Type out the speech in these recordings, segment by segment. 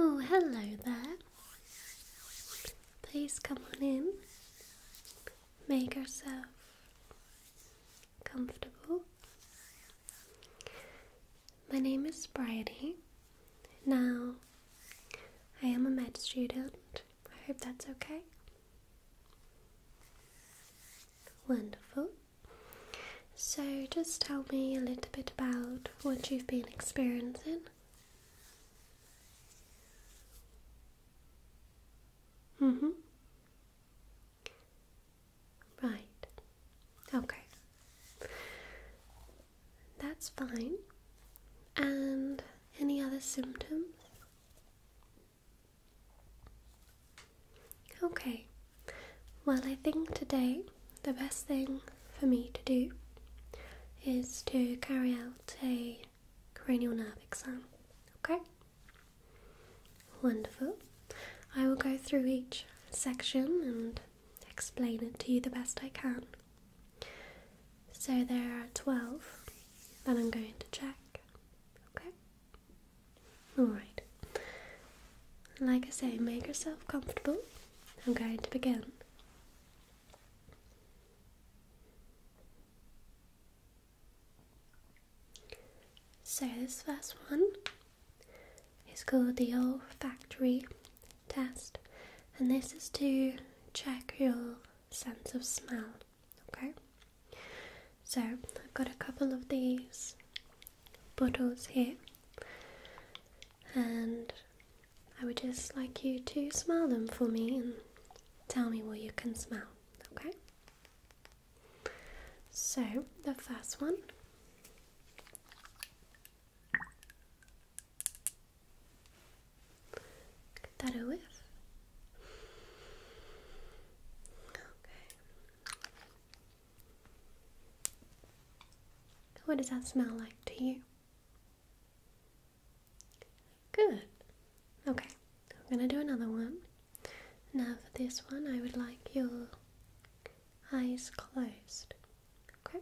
Oh, hello there. Please come on in. Make yourself comfortable. My name is Bridie. Now, I am a med student. I hope that's okay. Wonderful. So, just tell me a little bit about what you've been experiencing. Mm hmm. Right. Okay. That's fine. And any other symptoms? Okay, well, I think today the best thing for me to do is to carry out a cranial nerve exam. Okay? Wonderful. I will go through each section and explain it to you the best I can. So there are 12 that I'm going to check. Okay? Alright. Like I say, make yourself comfortable. I'm going to begin. So, this first one is called the olfactory test, and this is to check your sense of smell okay? So, I've got a couple of these bottles here, and I would just like you to smell them for me and tell me what you can smell, okay? So, the first one. Give that a whiff. Okay. What does that smell like to you? Good. Okay, I'm gonna do another one. Now, for this one, I would like your eyes closed. Okay?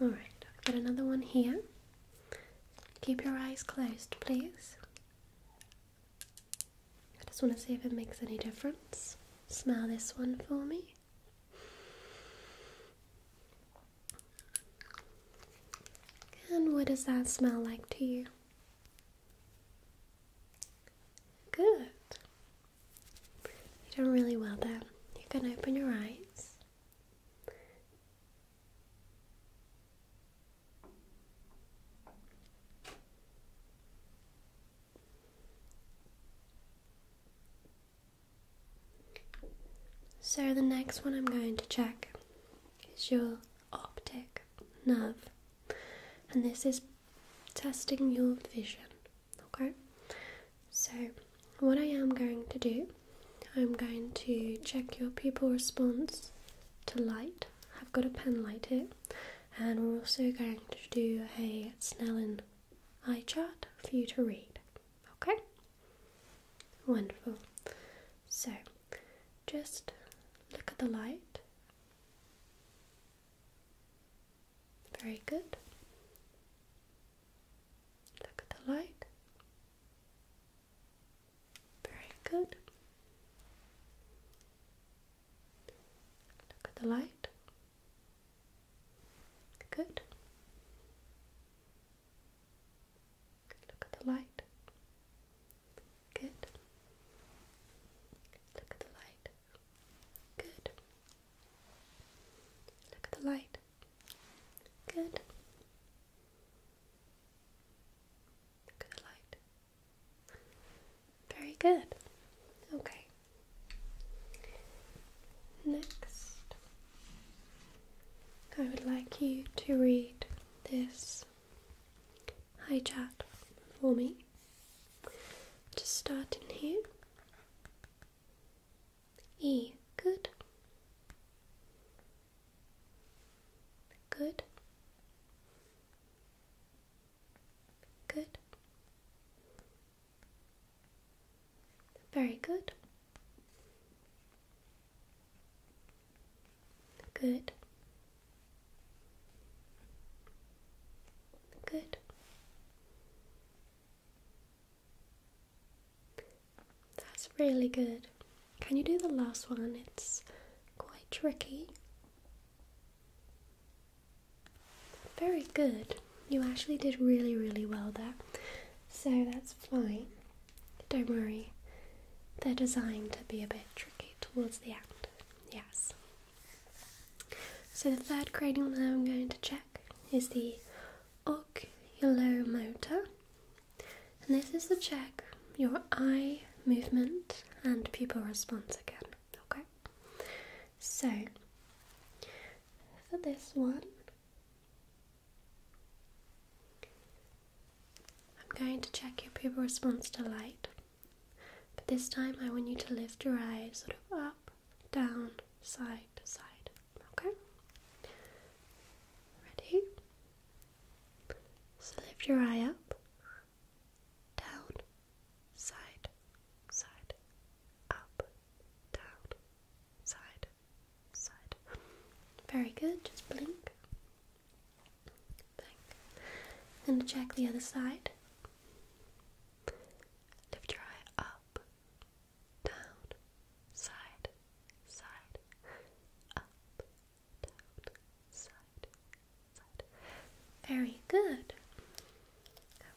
Alright, I've got another one here. Keep your eyes closed, please. I just want to see if it makes any difference. Smell this one for me. And what does that smell like to you? Good. You're doing really well there. You can open your eyes. So, the next one I'm going to check is your optic nerve, and this is testing your vision. Okay, so what I am going to do, I'm going to check your pupil response to light. I've got a penlight here, and we're also going to do a Snellen eye chart for you to read. Okay? Wonderful. So, just look at the light. Very good. Look at the light. Very good. Look at the light. Good. Look at the light. Good. Look at the light. Good. Look at the light. Good. Look light. Very good. Okay. Next, I would like you to read this high chat for me. Just start in here. E. Good. Good. Good. Very good. Good. Good. That's really good. Can you do the last one? It's quite tricky. Very good. You actually did really, really well there. So that's fine. Don't worry. They're designed to be a bit tricky towards the end. Yes. So the third grading that I'm going to check is the ocular motor. And this is to check your eye movement and pupil response again. Okay? So, for this one, I'm going to check your pupil response to light. But this time I want you to lift your eyes sort of up, down, side to side. Okay. Ready? So lift your eye up, down, side, side, up, down, side, side. Very good. Just blink. Blink. Then check the other side. Lift your eye up, down, side, side, up, down, side, side. Very good.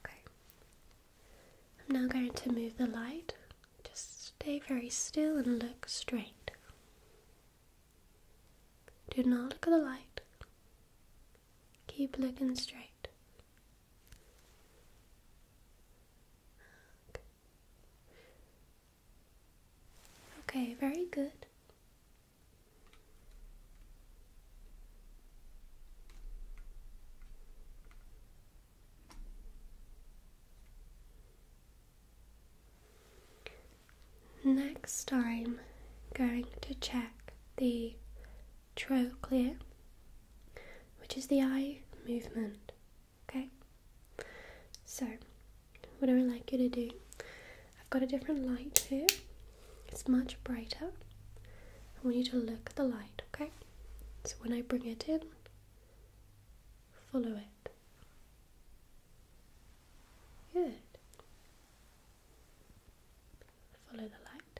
Okay. I'm now going to move the light. Just stay very still and look straight. Do not look at the light. Keep looking straight. Okay, very good. Next, I'm going to check the clear, which is the eye movement. Okay? So, what I would like you to do, I've got a different light here, it's much brighter. I want you to look at the light, okay? So, when I bring it in, follow it. Good. Follow the light.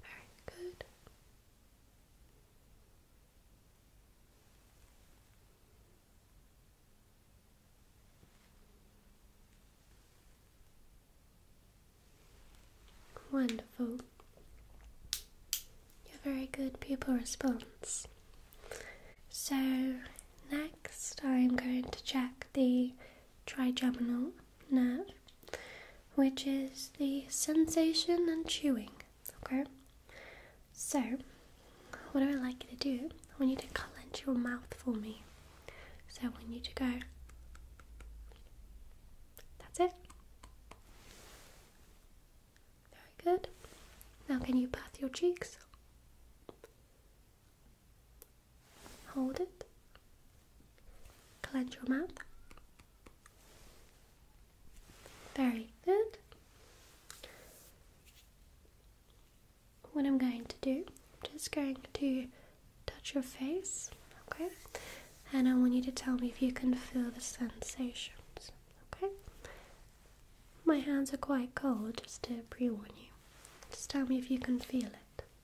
Very good. Wonderful. You're very good pupil response. So next I'm going to check the trigeminal nerve which is the sensation and chewing. Okay? So, what do I like you to do, I want you to clench your mouth for me. So, I want you to go. That's it. Very good. Now, can you pat your cheeks? Hold it. Clench your mouth. Very good. What I'm going to do, I'm just going to touch your face, okay? And I want you to tell me if you can feel the sensations, okay? My hands are quite cold, just to pre warn you. Just tell me if you can feel it.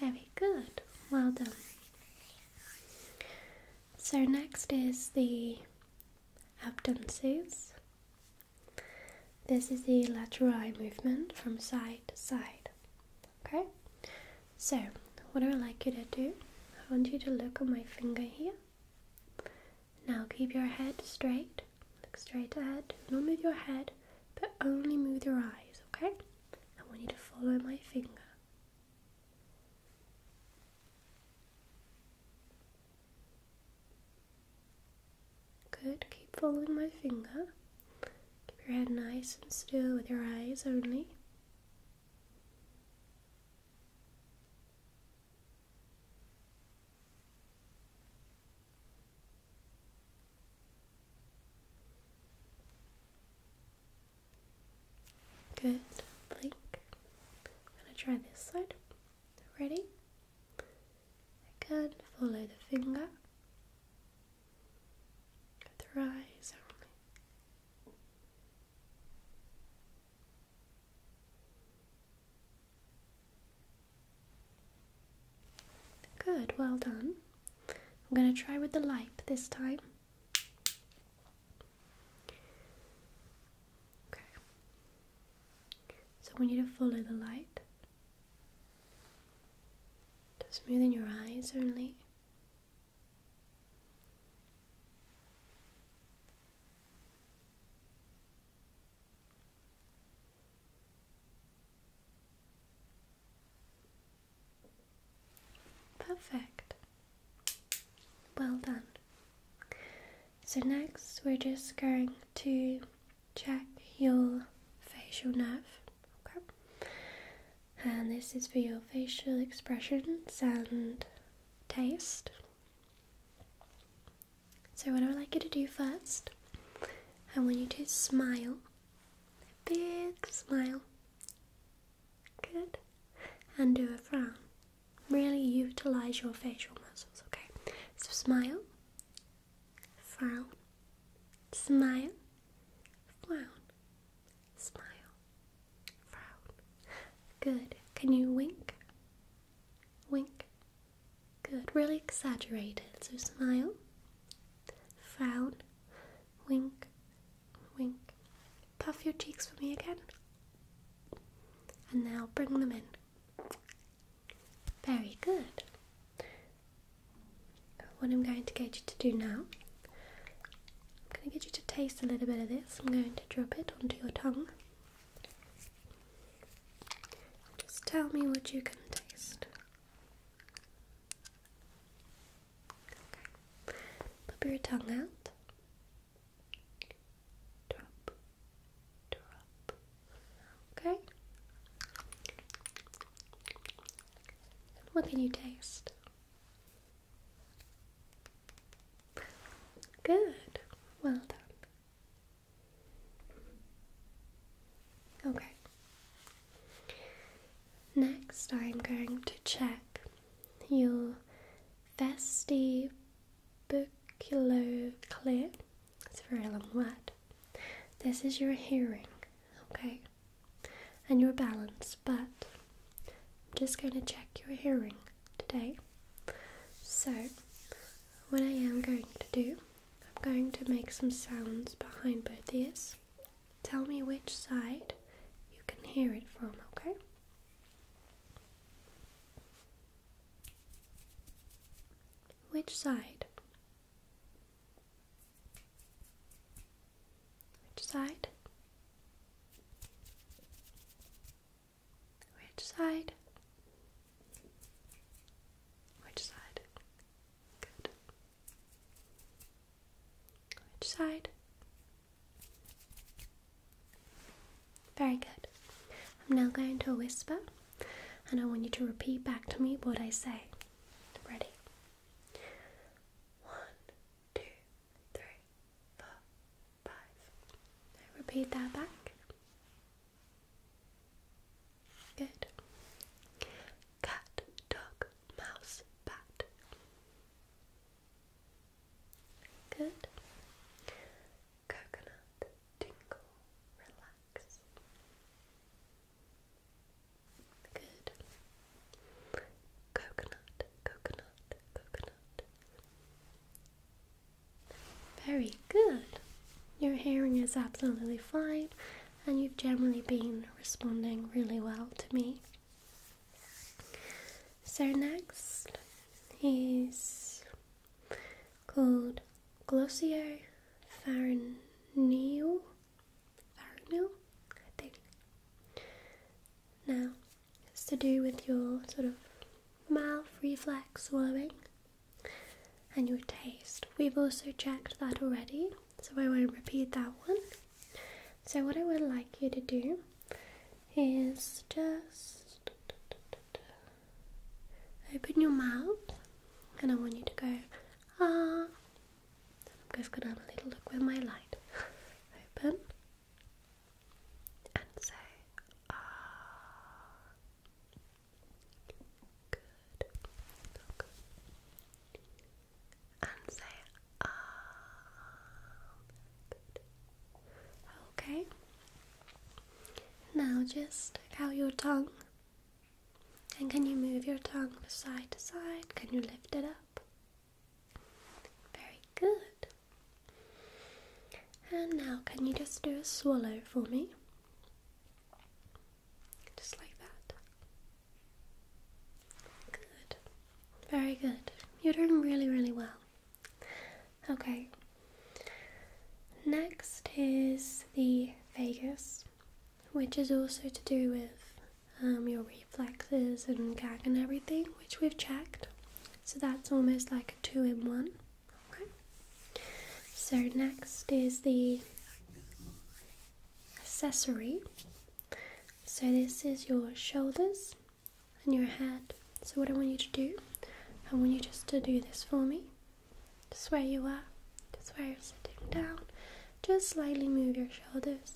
Very good, well done. So, next is the abducens. This is the lateral eye movement from side to side. Okay, so what I like you to do, I want you to look at my finger here. Now, keep your head straight Look straight ahead. Do not move your head, but only move your eyes, okay? I want you to follow my finger. Good. Keep following my finger. Keep your head nice and still with your eyes only. Good. Blink. I'm gonna try this side. Ready? Good. Follow the finger. the eyes only. Good, well done. I'm gonna try with the light this time. Okay. So we need to follow the light. Just smoothing your eyes only. Perfect. Well done. So next we're just going to check your facial nerve. Okay. And this is for your facial expressions and taste. So, what I would like you to do first, I want you to smile. A big smile. Good. And do a frown. Really utilize your facial muscles, okay? So, smile, frown, smile, frown, smile, frown. Good. Can you wink? Wink. Good. Really exaggerated. So smile. Frown. Wink. Wink. Puff your cheeks for me again. And now bring them in. Very good. What I'm going to get you to do now, I'm going to get you to taste a little bit of this. I'm going to drop it onto your tongue. Just tell me what you can taste. Okay. Pop your tongue out. Okay. what can you taste? Good. Well done. Okay. Next, I'm going to check your vestibulocochlear. It's a very long word. This is your hearing, okay, and your balance, but I'm just going to check your hearing today. So, what I am going to do, I'm going to make some sounds behind both ears. Tell me which side you can hear it from, okay? Which side? Which side? Which side? Which side? Good. Which side? Very good. I'm now going to whisper and I want you to repeat back to me what I say. Ready? One, two, three, four, five. repeat that back. Good. Cat, dog, mouse, bat. Good. Coconut, tingle, relax. Good. Coconut, coconut, coconut. Very good. Your hearing is absolutely fine, and you've generally been responding really well to me. So, next is called glossiopharyngeal. Pharyngeal, I think. Now, it's to do with your sort of mouth reflex swallowing and your taste. We've also checked that already, so I won't repeat that one. So, what I would like you to do is just open your mouth, and I want you to go ah. I'm just gonna have a little look with my light. open Ah, and say ah. Good. Look. And say ah. Good. Okay. Now just stick out your tongue. And can you move your tongue side to side? Can you lift it up? Very good. And now, can you just do a swallow for me? Just like that. Good. Very good. You're doing really, really well. Okay. Next is the vagus, which is also to do with um, your reflexes and gag and everything, which we've checked. So that's almost like a two in one. Okay. So next is the accessory. So this is your shoulders and your head. So what I want you to do, I want you just to do this for me. Just where you are, just where you're sitting down. Just slightly move your shoulders.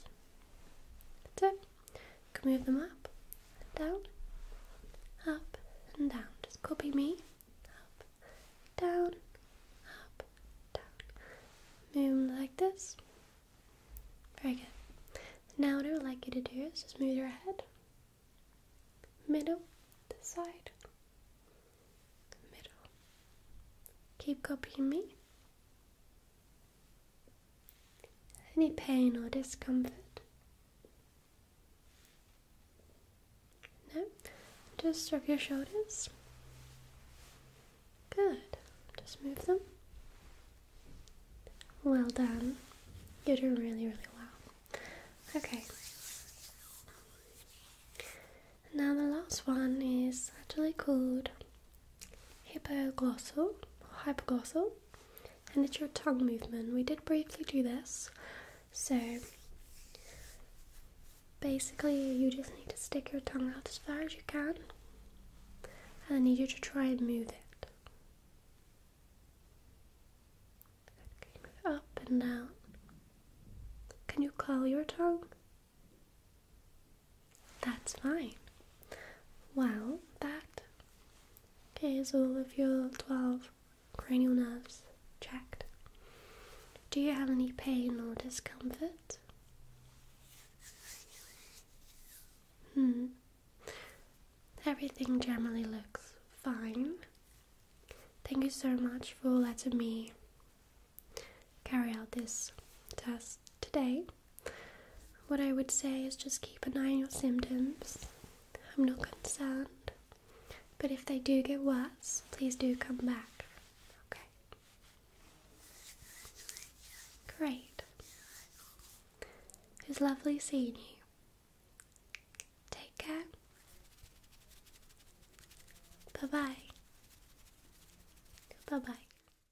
That's move them up and down, up and down. Just copy me. Up, down, up, down. Move like this. Very good. Now what I would like you to do is just move your head. Middle, to side, middle. Keep copying me any pain or discomfort? No? Just rub your shoulders. Good. Just move them. Well done. You're doing really, really well. Okay. Now the last one is actually called hypoglossal, hypoglossal, and it's your tongue movement. We did briefly do this, so basically you just need to stick your tongue out as far as you can, and I need you to try and move it. up and down. Can you curl your tongue? That's fine. Well, that is all of your 12 cranial nerves checked. Do you have any pain or discomfort? Hmm. Everything generally looks fine. Thank you so much for letting me carry out this test today. What I would say is just keep an eye on your symptoms. I'm not concerned, but if they do get worse, please do come back. Okay. Great. was lovely seeing you. Take care. Bye bye. Bye bye.